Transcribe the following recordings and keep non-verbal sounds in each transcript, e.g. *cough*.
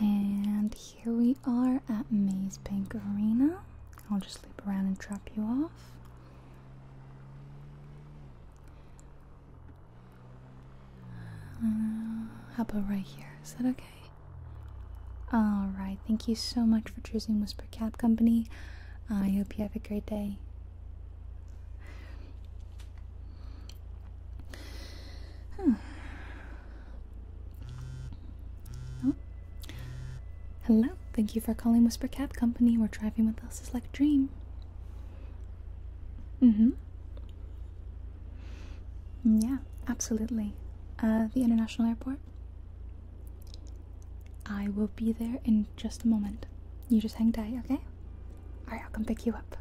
And here we are at Maze Bank Arena. I'll just loop around and drop you off. Uh, how about right here? Is that okay? Alright, thank you so much for choosing Whisper Cab Company. I hope you have a great day. Hello, hmm. thank you for calling Whisper Cab Company, We're driving with us is like a dream. Mm-hmm. Yeah, absolutely. Uh, the international airport? I will be there in just a moment. You just hang tight, okay? Alright, I'll come pick you up.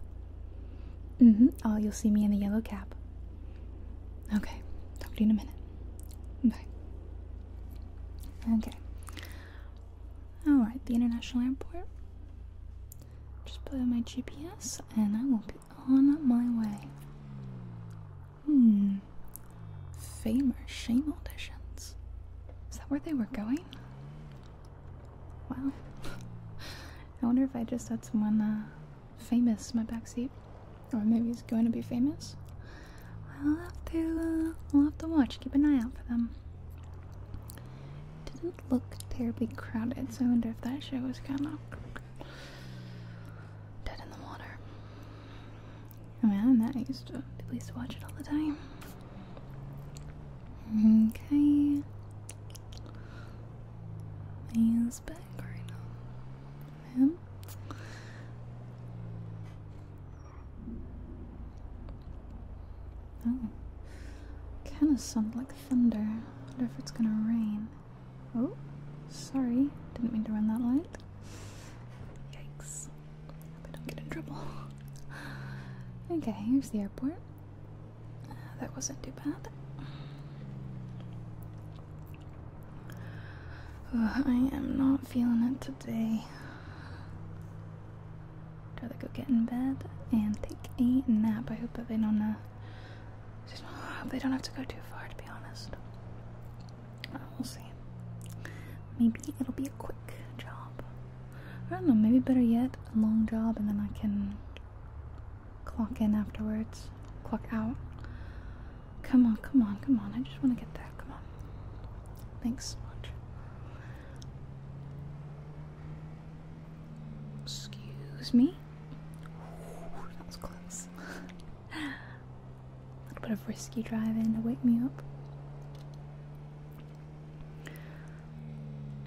Mm hmm. Oh, you'll see me in the yellow cab. Okay, talk to you in a minute. Bye. Okay. Alright, the international airport. Just put in my GPS and I will be on my way. Hmm. Fame or shame auditions. Is that where they were going? Wow. I wonder if I just sat someone uh, famous in my backseat. Or maybe he's going to be famous. I'll have to, uh, will have to watch. Keep an eye out for them. Didn't look terribly crowded, so I wonder if that show was kind of dead in the water. I oh mean, i used to. People used to watch it all the time. Okay. He's back right now. Him. Oh. Kinda sound like thunder. wonder if it's gonna rain. Oh, sorry. Didn't mean to run that light. Yikes. Hope don't get in trouble. *laughs* Okay, here's the airport that wasn't too bad. I am not feeling it today. Gotta go get in bed and take a nap. I hope that they don't. Uh, *sighs* they don't have to go too far, to be honest. we'll see. Maybe it'll be a quick job. I don't know, maybe better yet, a long job and then I can clock in afterwards, clock out. Come on, come on, come on. I just want to get there. Come on. Thanks so much. Excuse me. that was close. *laughs* a little bit of risky driving to wake me up.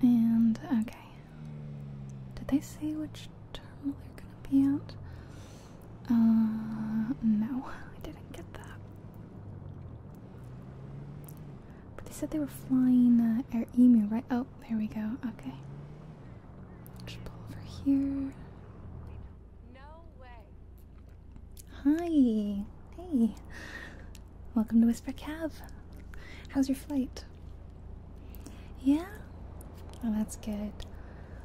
And okay. Did they say which terminal they're gonna be at? Uh no, *laughs* I didn't get that. But they said they were flying uh, Air Emu, right? Oh, there we go. Okay. I pull over here. Hi. Hey. Welcome to Whisper Cab. How's your flight? Yeah? Oh, that's good.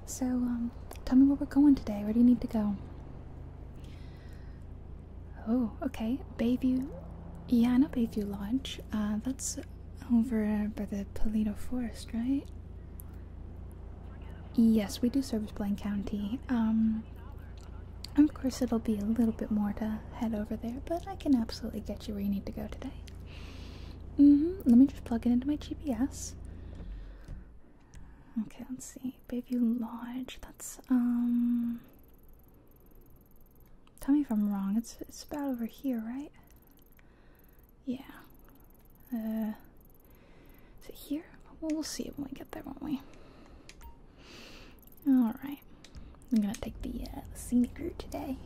So, um, tell me where we're going today. Where do you need to go? Oh, okay. Bayview. Yeah, I know Bayview Lodge. Uh, that's over by the Palito Forest, right? Yes, we do service Blaine County. Um, of course, it'll be a little bit more to head over there, but I can absolutely get you where you need to go today. Mm-hmm. Let me just plug it into my GPS. Okay, let's see. Bayview Lodge. That's um. Tell me if I'm wrong. It's it's about over here, right? Yeah. Uh. Is it here? we'll see it when we get there, won't we? All right, I'm gonna take uh, the, scenic route today.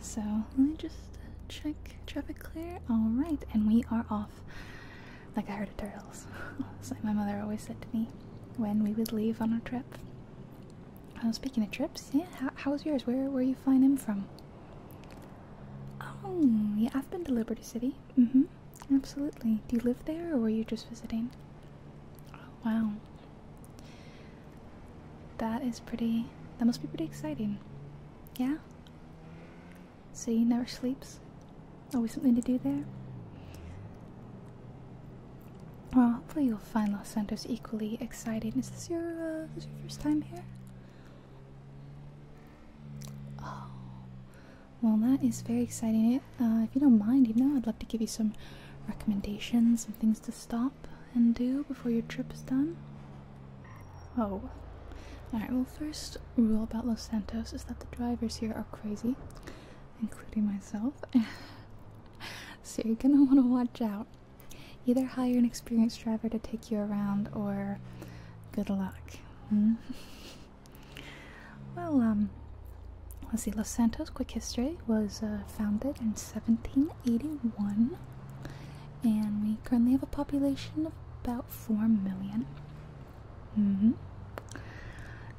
So let me just check traffic clear. All right, and we are off like a herd of turtles. like *laughs* my mother always said to me when we would leave on a trip. Oh, speaking of trips, yeah, how, was yours? Where were you flying in from? Oh, yeah, I've been to Liberty City. Mm-hmm. Absolutely. Do you live there or were you just visiting? Oh, wow. That is pretty. That must be pretty exciting. Yeah? So you never sleeps? Always something to do there? Well, hopefully you'll find Los Santos equally exciting. Is this your, uh, this your first time here? Oh, well, that is very exciting. Uh, if you don't mind, you know, I'd love to give you some recommendations and things to stop and do before your trip is done. Oh. Alright, well, first rule about Los Santos is that the drivers here are crazy, including myself. *laughs* so you're gonna want to watch out. Either hire an experienced driver to take you around or good luck. Hmm? *laughs* Well, um, let's see. Los Santos, quick history, was uh, founded in 1781, and we currently have a population of about four mm-hmm.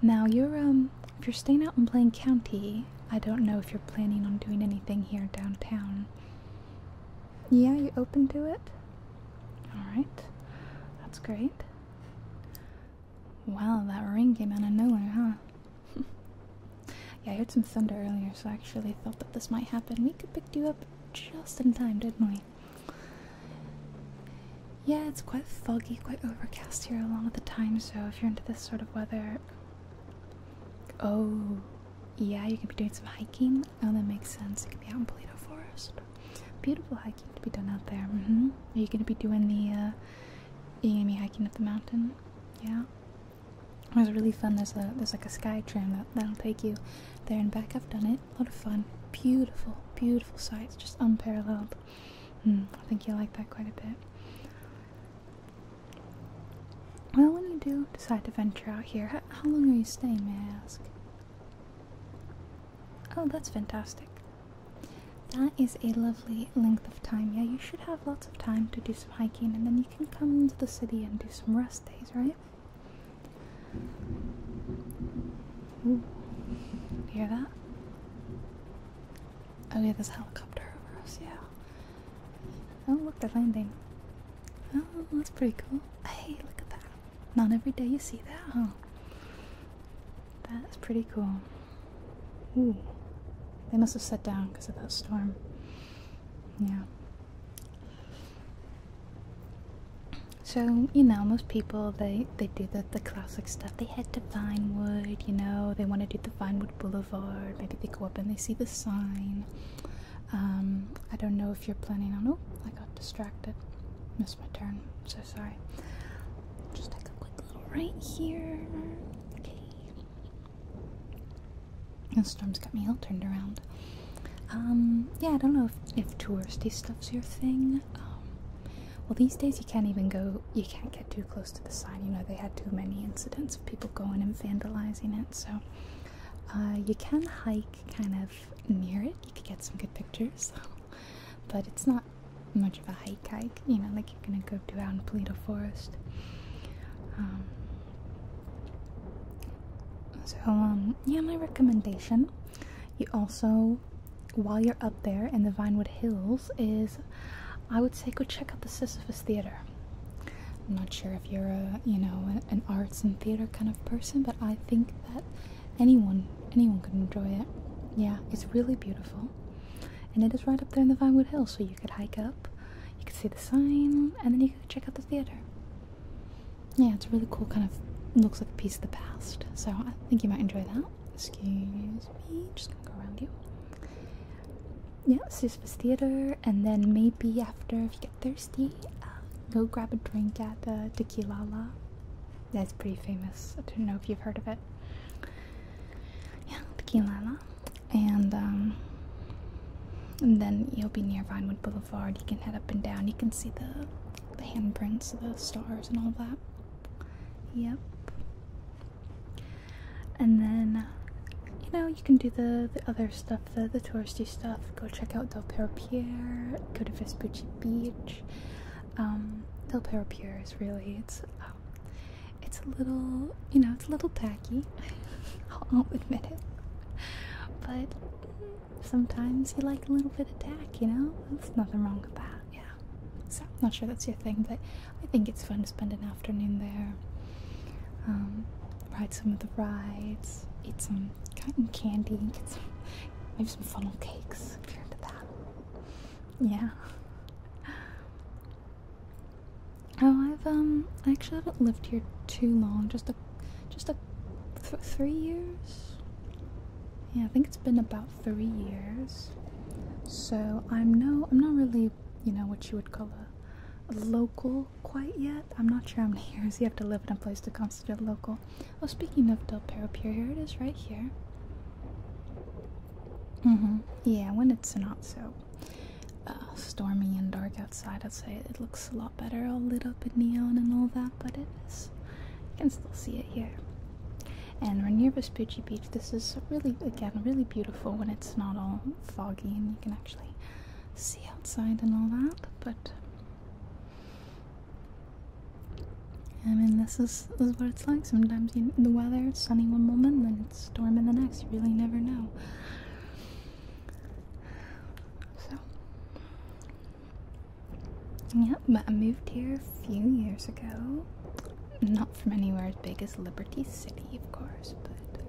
Now you're um, if you're staying out in Plain County, I don't know if you're planning on doing anything here downtown. Yeah, you open to it? Alright. That's great. Wow, that ring came out of nowhere, huh? *laughs* yeah, I heard some thunder earlier, so I actually thought that this might happen. We could picked you up just in time, didn't we? Yeah, it's quite foggy, quite overcast here a lot of the time, so if you're into this sort of weather. Oh, yeah, you could be doing some hiking. Oh, that makes sense. You could be out in Polito Forest. Beautiful hike, to be done out there. Mm-hmm. Are you going to be doing the? Uh, hiking up the mountain? Yeah. It was really fun. There's a there's like a sky tram that that'll take you there and back. I've done it. A lot of fun. Beautiful, beautiful sights. Just unparalleled. Mm, I think you'll like that quite a bit. Well, when you do decide to venture out here, how long are you staying, may I ask? Oh, that's fantastic. That is a lovely length of time. Yeah, you should have lots of time to do some hiking and then you can come into the city and do some rest days, right? Hear that? Oh yeah, there's a helicopter over us, yeah. Oh look, they're landing. Oh, that's pretty cool. Hey, look at that. Not every day you see that, huh? That's pretty cool. Ooh. They must have set down because of that storm. Yeah. So, you know, most people they they do the the classic stuff. They head to Vinewood, you know, they want to do the Vinewood Boulevard. Maybe they go up and they see the sign. Um, I don't know if you're planning on oh, I got distracted my turn. So sorry. Just take a quick little right here. Okay. The storm's got me all turned around. Um, yeah, I don't know if, if touristy stuff's your thing. Um, well, these days you can't even go, you can't get too close to the sign. You know, they had too many incidents of people going and vandalizing it, so. Uh, you can hike kind of near it. You could get some good pictures. *laughs* but it's not much of a hike hike you know like you're gonna go do out in Polito Forest um, so um yeah my recommendation you also while you're up there in the Vinewood Hills is I would say go check out the Sisyphus Theater I'm not sure if you're a you know an arts and theater kind of person but I think that anyone anyone could enjoy it. Yeah, it's really beautiful. And it is right up there in the Vinewood Hills, so you could hike up, you could see the sign, and then you could check out the theater. Yeah, it's a really cool kind of looks like a piece of the past. So I think you might enjoy that. Excuse me, just gonna go around you. Yeah, Sisyphus Theater, and then maybe after, if you get thirsty, uh, go grab a drink at the uh, Tequila that's pretty famous. I don't know if you've heard of it. Yeah, the And, um, and then you'll be near Vinewood Boulevard. You can head up and down. You can see the, the handprints the stars and all that. Yep. And then, you know, you can do the, the other stuff, the, the touristy stuff. Go check out Del Pierre, go to Vespucci Beach um, Del Perro Pure is really it's um, it's a little you know it's a little tacky. *laughs* I'll admit it, but sometimes you like a little bit of tack, you know. There's nothing wrong with that. Yeah. So I'm not sure that's your thing, but I think it's fun to spend an afternoon there. Um, ride some of the rides, eat some cotton candy, get some, maybe some funnel cakes. Yeah. Oh, I've um, I actually haven't lived here too long. Just a, just a, three years. Yeah, I think it's been about three years. So I'm no, I'm not really, you know, what you would call a, a local quite yet. I'm not sure how many *laughs* years you have to live in a place to constitute local well. Oh, speaking of Del Peropier, here it is right here. Mm-hmm. Yeah, when it's not so uh, stormy and dark outside, I'd say it looks a lot better, all lit up in neon and all that, but it is. You can still see it here. And we're near Vespucci Beach. This is really, again, really beautiful when it's not all foggy and you can actually see outside and all that, but I mean, this is is what it's like sometimes. the weather it's sunny one moment, then it's storming the next. You really never know. So, yeah, but I moved here a few years ago. Not from anywhere as big as Liberty City, of course, but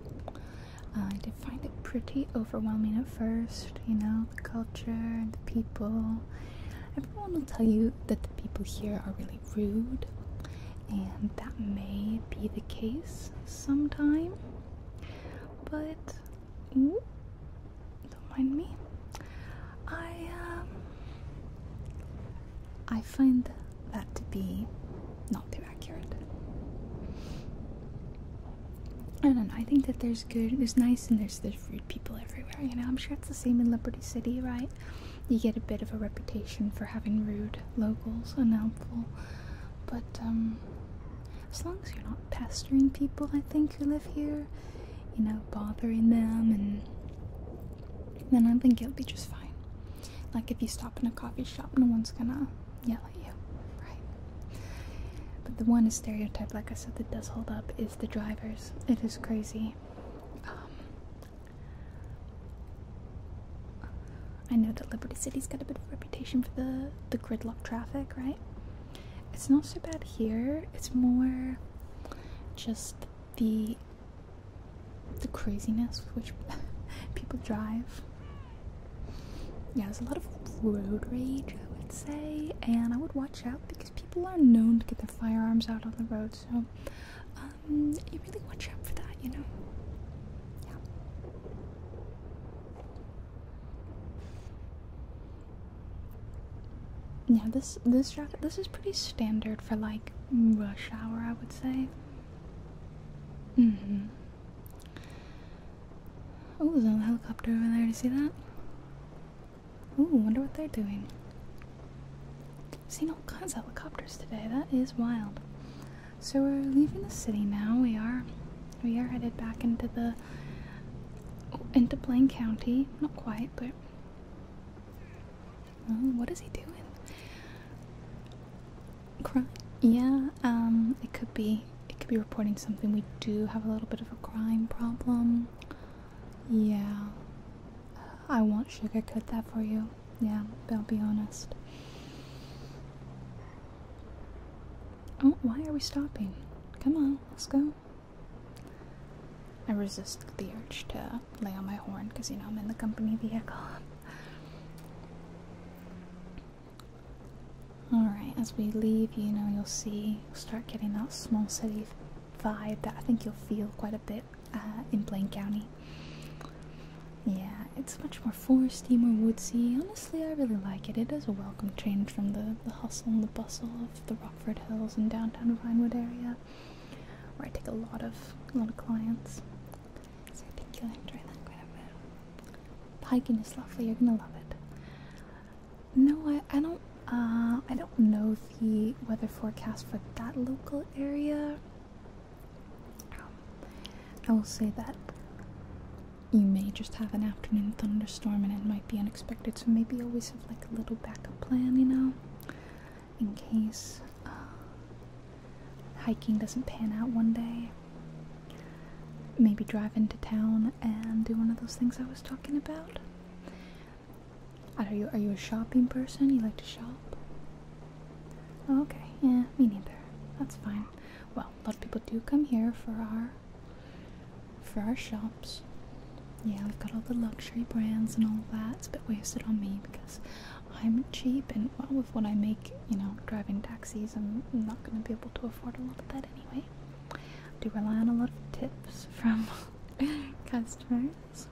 uh, I did find it pretty overwhelming first, you know, the culture and the people. Everyone will tell you that the people here are really rude, and that may be the case sometime, but don't mind me. I um, I find that to be not too accurate. I don't know. I think that there's good, there's nice, and there's the there's people everywhere. You know, I'm sure it's the same in Liberty City, right? You get a bit of a reputation for having rude locals, unhelpful. But um, as long as you're not pestering people, I think who live here, you know, bothering them, and then I think it will be just fine. Like if you stop in a coffee shop, no one's gonna yell at you, right? But the one stereotype, like I said, that does hold up is is the drivers. It is crazy. Um, I know that Liberty City's got a bit of reputation for the the gridlock traffic, right? It's not so bad here. It's more just the the craziness with which *laughs* people drive. Yeah, there's a lot of road rage, I would say, and I would watch watch out because people are known to get their firearms out on the road, so um, you really watch out for that, you know? Yeah. Yeah, this this jacket this is pretty standard for like rush hour, I would say. Mm-hmm. Oh, there's helicopter over there. Do you see that? Ooh, wonder what they're doing. Seen all kinds of helicopters today. That is wild. So we're leaving the city now. We are, we are headed back into the, into Plain County. Not quite, but. Oh, what is he doing? Cry? Yeah. Um. It could be it could be reporting something. We do have a little bit of a crime problem. Yeah. I won't sugarcoat that for you. Yeah, but I'll be honest. Oh, why are we stopping? Come on, let's go. I resist the urge to lay on my horn because, you know, I'm in the company vehicle. Alright, as we leave, you know, you'll see, you'll start getting that small city vibe that I think you'll feel quite a bit uh, in Plain County. Yeah, it's much more foresty, more woodsy. Honestly, I really like it. It is a welcome change from the, the hustle and the bustle of the Rockford Hills and downtown Vinewood area, where I take a lot of a lot of clients. So I think you'll enjoy that quite a bit. hiking is lovely. You're gonna love it. No, I, I don't. Uh, I don't know the weather forecast for that local area. Um, I will say that you may just have an afternoon thunderstorm and it might be unexpected, so maybe always have like a little backup plan, you know, in case uh, hiking doesn't pan out one day maybe drive into town and do one of those things I was talking about. Are you are you a shopping person? You like to shop? Oh, okay, yeah, me neither. That's fine. Well, a lot of people do come here for our for our shops. Yeah, we've got all the luxury brands and all that. It's a bit wasted on me because I'm cheap and well with what I make, you know, driving taxis, I'm not gonna be able to afford a lot of that anyway do rely on a lot of tips from *laughs* customers.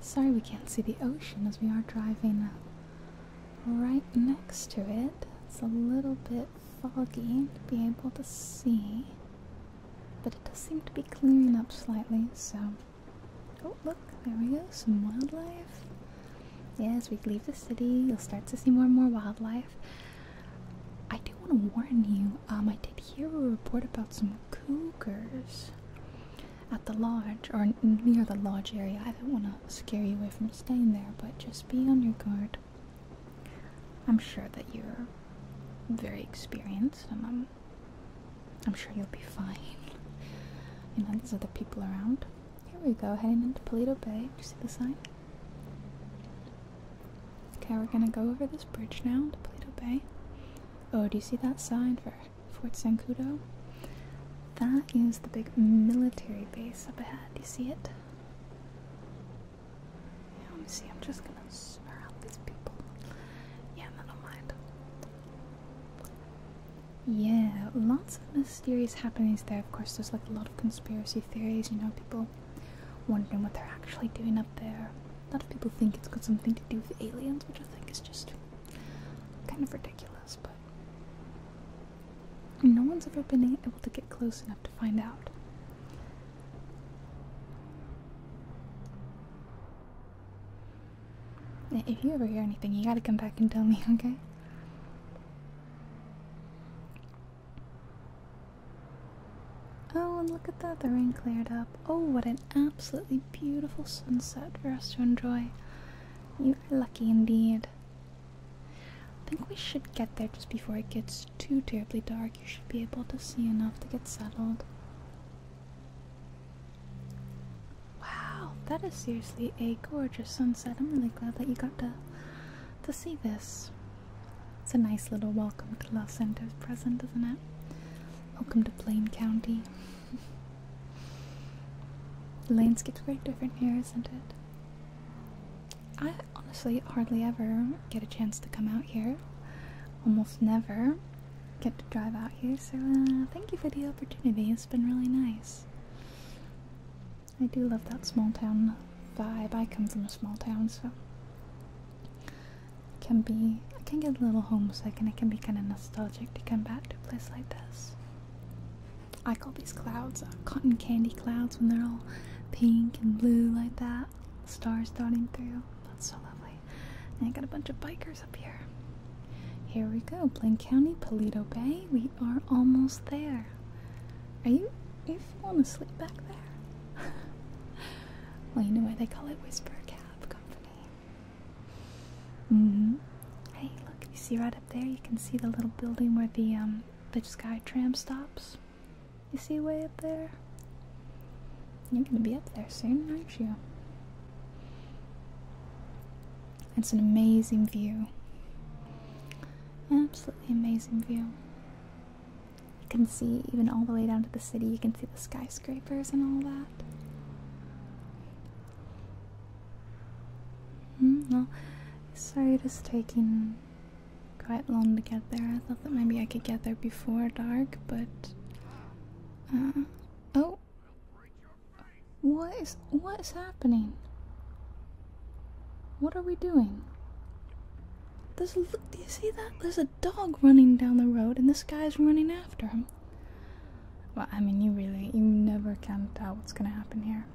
Sorry we can't see the ocean as we are driving right next to it. It's a little bit foggy to be able to see. But it does seem to be clearing up slightly, so. Oh, look, there we go, some wildlife. Yeah, as we leave the city, you'll start to see more and more wildlife. I do want to warn you, um, I did hear a report about some cougars at the lodge, or near the lodge area. I don't want to scare you away from staying there, but just be on your guard. I'm sure that you're very experienced, and I'm, I'm sure you'll be *laughs* fine. You know, these are the people around. Here we go, heading into Polito Bay. Do you see the sign? Okay, we're gonna go over this bridge now to Polito Bay. Oh, do you see that sign for Fort Sancudo? That is the big military base up ahead. Do you see it? Yeah, let me see, I'm just gonna snare out these people. Yeah, I don't mind. Yeah, lots of mis mysterious happenings there. Of course, there's like a lot of conspiracy theories, you know, people wondering what they're actually doing up there. A lot of people think it's got something to do with aliens, which I think is just kind of ridiculous, but no one's ever been able to get close enough to find out. If you ever hear anything, you gotta come back and tell me, *laughs* okay? Oh, and look at that, the rain cleared up. Oh, what an absolutely beautiful sunset for us to enjoy. You are lucky indeed. I think we should get there just before it gets too terribly dark. You should be able to see enough to get settled. Wow, that is seriously a gorgeous sunset. I'm really glad that you got to to see this. It's a nice little welcome to Los Santos present, isn't it? Welcome to Plain County. *laughs* the landscape's very different here, isn't it? I honestly hardly ever get a chance to come out here. Almost never get to drive out here, so uh, thank you for the opportunity. It's been really nice. I do love that small town vibe. I come from a small town, so it can be I can get a little homesick, and it can be kind of nostalgic to come back to a place like this. I call these clouds uh, cotton candy clouds when they're all pink and blue like that, stars dotting through. That's so lovely. And I got a bunch of bikers up here. Here we go, Blaine County, Palito Bay. We are almost there. Are you you falling asleep back there? well, you know why they call it Whisper Cab Company. Mm-hmm. Hey, look, you see right up there? You can see the little building where the um, the sky tram stops. You see way up there? You're gonna be up there soon, aren't you? It's an amazing view. Absolutely amazing view. You can see even all the way down to the city, you can see the skyscrapers and all that. Hmm, well, sorry it is taking quite long to get there. I thought that maybe I could get there before dark, but. Uh, oh! What is what is happening? What are we doing? There's do you see that? There's a dog running down the road, and this guy's running after him. Well, I mean, you really, you never can tell what's gonna happen here.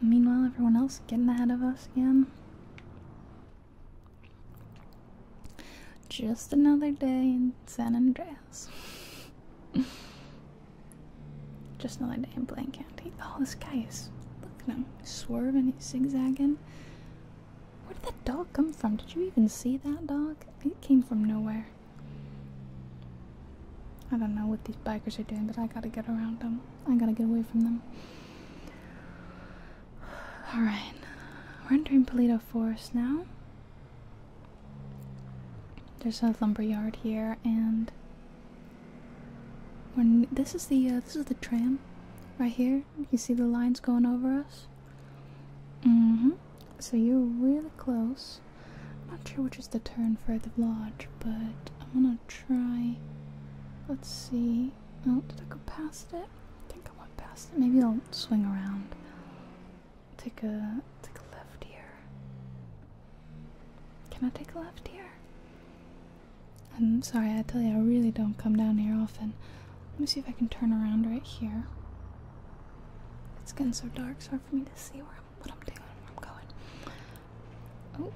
meanwhile, everyone else getting ahead of us again. Just another day in San Andreas. *laughs* Just another day in blank county. Oh, this guy is. Look at him. swerving, he's zigzagging. Where did that dog come from? Did you even see that dog? It came from nowhere. I don't know what these bikers are doing, but I gotta get around them. I gotta get away from them. *sighs* Alright, we're entering Polito Forest now. There's a lumberyard here, and this is the uh, this is the tram, right here. You see the lines going over us. Mm-hmm. So you're really close. I'm not sure which is the turn for the lodge, but I'm gonna try. Let's see. Oh, did I go past it? I think I went past it. Maybe I'll swing around. Take a take a left here. Can I take a left here? I'm sorry, I tell you, I really don't come down here often. Let me see if I can turn around right here. It's getting so dark, it's hard for me to see where I'm, what I'm doing, I'm going. Oh,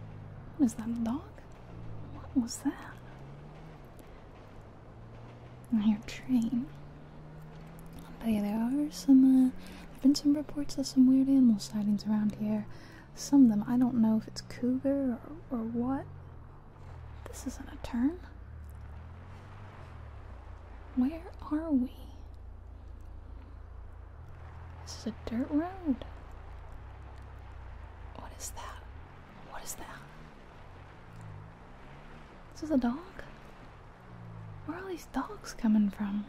what is that, a dog? What was that? I hear train yeah, there are some, uh, there have been some reports of some weird animal sightings around here. Some of them, I don't know if it's cougar or what. This isn't a turn. Where are we? This is a dirt road. What is that? What is that? This is a dog? Where are these dogs coming from?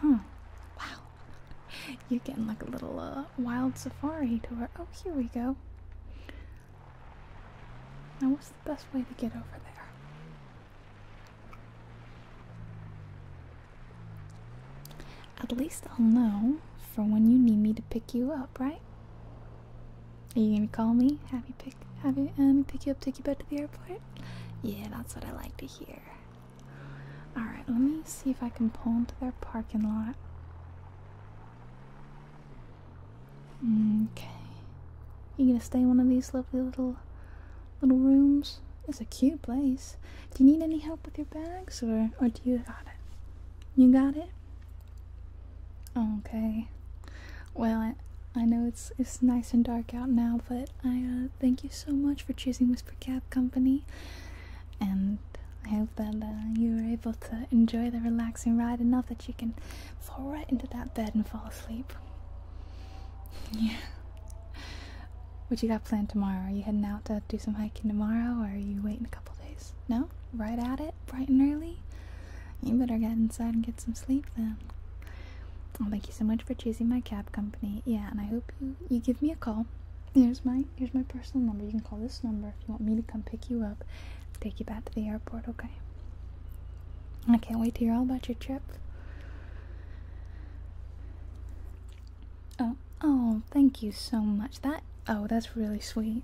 Huh. Wow. *laughs* You're getting like a little uh, wild safari tour. Oh, here we go. Now, what's the best way to get over there? At least I'll know for when you need me to pick you up, right? Are you gonna call me? Have you pick have you let um, me pick you up, take you back to the airport? Yeah, that's what I like to hear. Alright, let me see if I can pull into their parking lot. Okay. You gonna stay in one of these lovely little little rooms? It's a cute place. Do you need any help with your bags or or do you got it? You got it? Okay. Well, I, I know it's it's nice and dark out now, but I uh, thank you so much for choosing Whisper Cab Company, and I hope that uh, you were able to enjoy the relaxing ride enough that you can fall right into that bed and fall asleep. *laughs* Yeah. What you got planned tomorrow? Are you heading out to do some hiking tomorrow, or are you waiting a couple days? No, right at it. Bright and early? You better get inside and get some sleep then. Well, oh, thank you so much for choosing my cab company. Yeah, and I hope you, you give me a call. Here's my here's my personal number. You can call this number if you want me to come pick you up, take you back to the airport. Okay. I can't wait to hear all about your trip. Oh, oh, thank you so much. That oh, that's really sweet.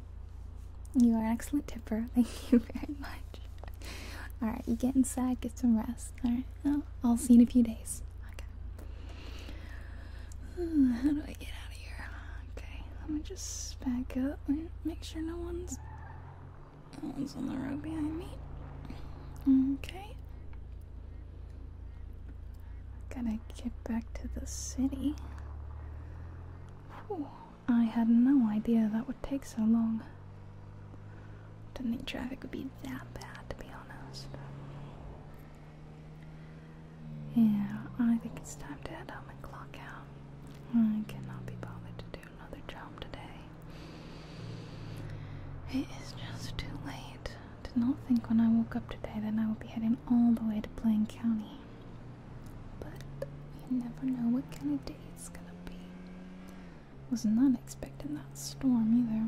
You are an excellent tipper. *laughs* Thank you very much. All right, you get inside, get some rest. All right, I'll see you in a few days. Okay. how do I get out of here? Okay, let me just back up make sure no one's no one's on the road behind me. Okay. Gotta get back to the city. I had no idea that would take so long. Didn't think traffic would be that bad, to be honest. Yeah, I think it's time to head home and clock out. I cannot be bothered to do another job today. It is just too late. Did not think when I woke up today that I would be heading all the way to Plain County. But you never know what kind of day it's gonna be. Was not expecting that storm either.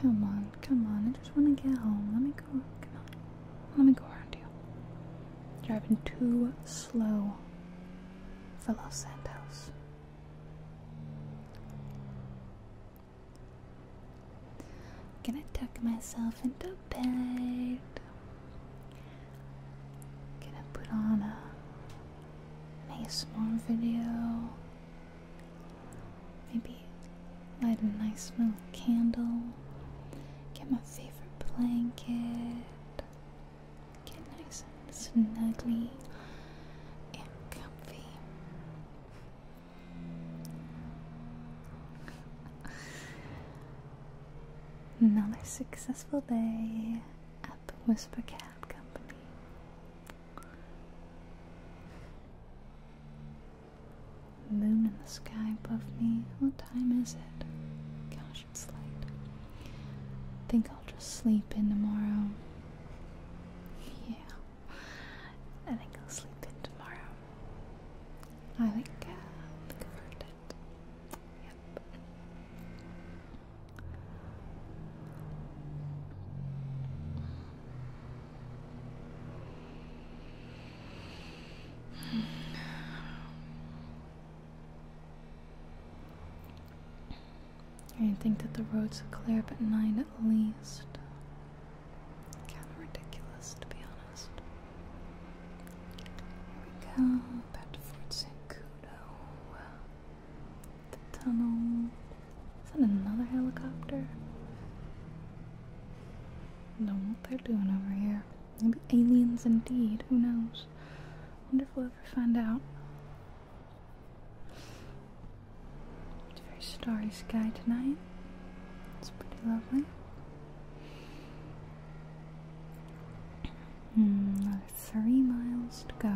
Come on, come on. I just want to get home. Let me go. Come on. Let me go around you. Driving too slow for Los Santos. Gonna tuck myself into bed. Gonna put on a nice more video. Maybe light a nice little candle. Get my favorite blanket. Get nice and snuggly and comfy. Another successful day at the Whisper Cat Company. Moon in the sky above me. What time is it? Gosh, it's late. Think I'll just sleep in tomorrow. Yeah. I think I'll sleep in tomorrow. I think uh convert it. Yep. I think that the roads will clear up at 9 at least. Kind of ridiculous, to be honest. Here we go, back to Fort Sankudo. The tunnel. Is that another helicopter? Don't know what they're doing over here. Maybe aliens indeed, who knows? Wonderful if we find out. It's a very starry sky tonight. It's pretty lovely. Mm, three miles to go.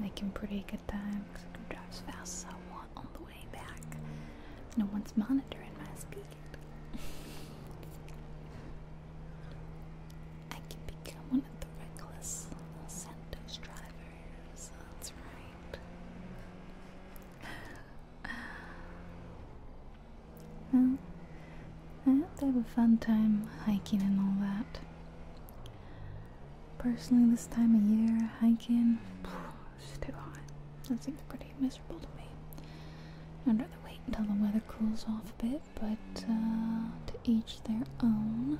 Making pretty good time because I can drive as fast as I want on the way back. No one's monitoring my speed. I can become one of the reckless Santos drivers. That's right. *sighs* Well, they have a fun time hiking and all that. Personally, this time of year, hiking, *sighs* too hot. That seems pretty miserable to me. I'd rather wait until the weather cools off a bit but uh, to each their own.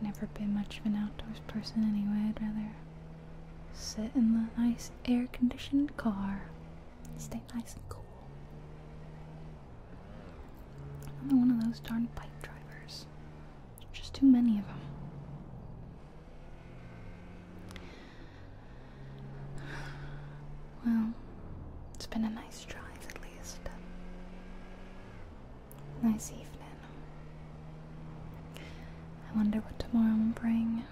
Never been much of an outdoors person anyway. I'd rather sit in the nice air conditioned car, stay nice and cool. Another one of those darn bike drivers. There's just too many of them. Well, it's been a nice drive at least. Nice evening. I wonder what tomorrow will bring.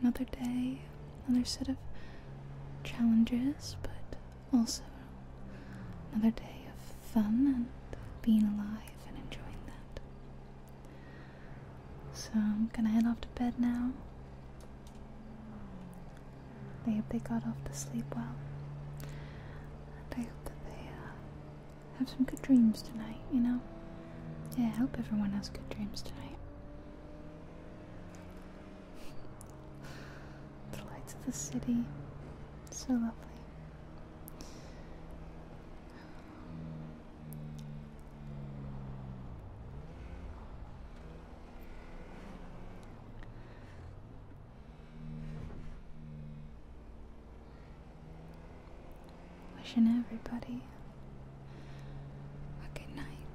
Another day, another set of challenges, but also another day of fun and being alive and enjoying that. So I'm gonna head off to bed now. I hope they got off to sleep well. And I hope that they uh, have some good dreams tonight, you know? Yeah, I hope everyone has good dreams tonight. *laughs* the lights of the city, so lovely. Wishing everybody a good night.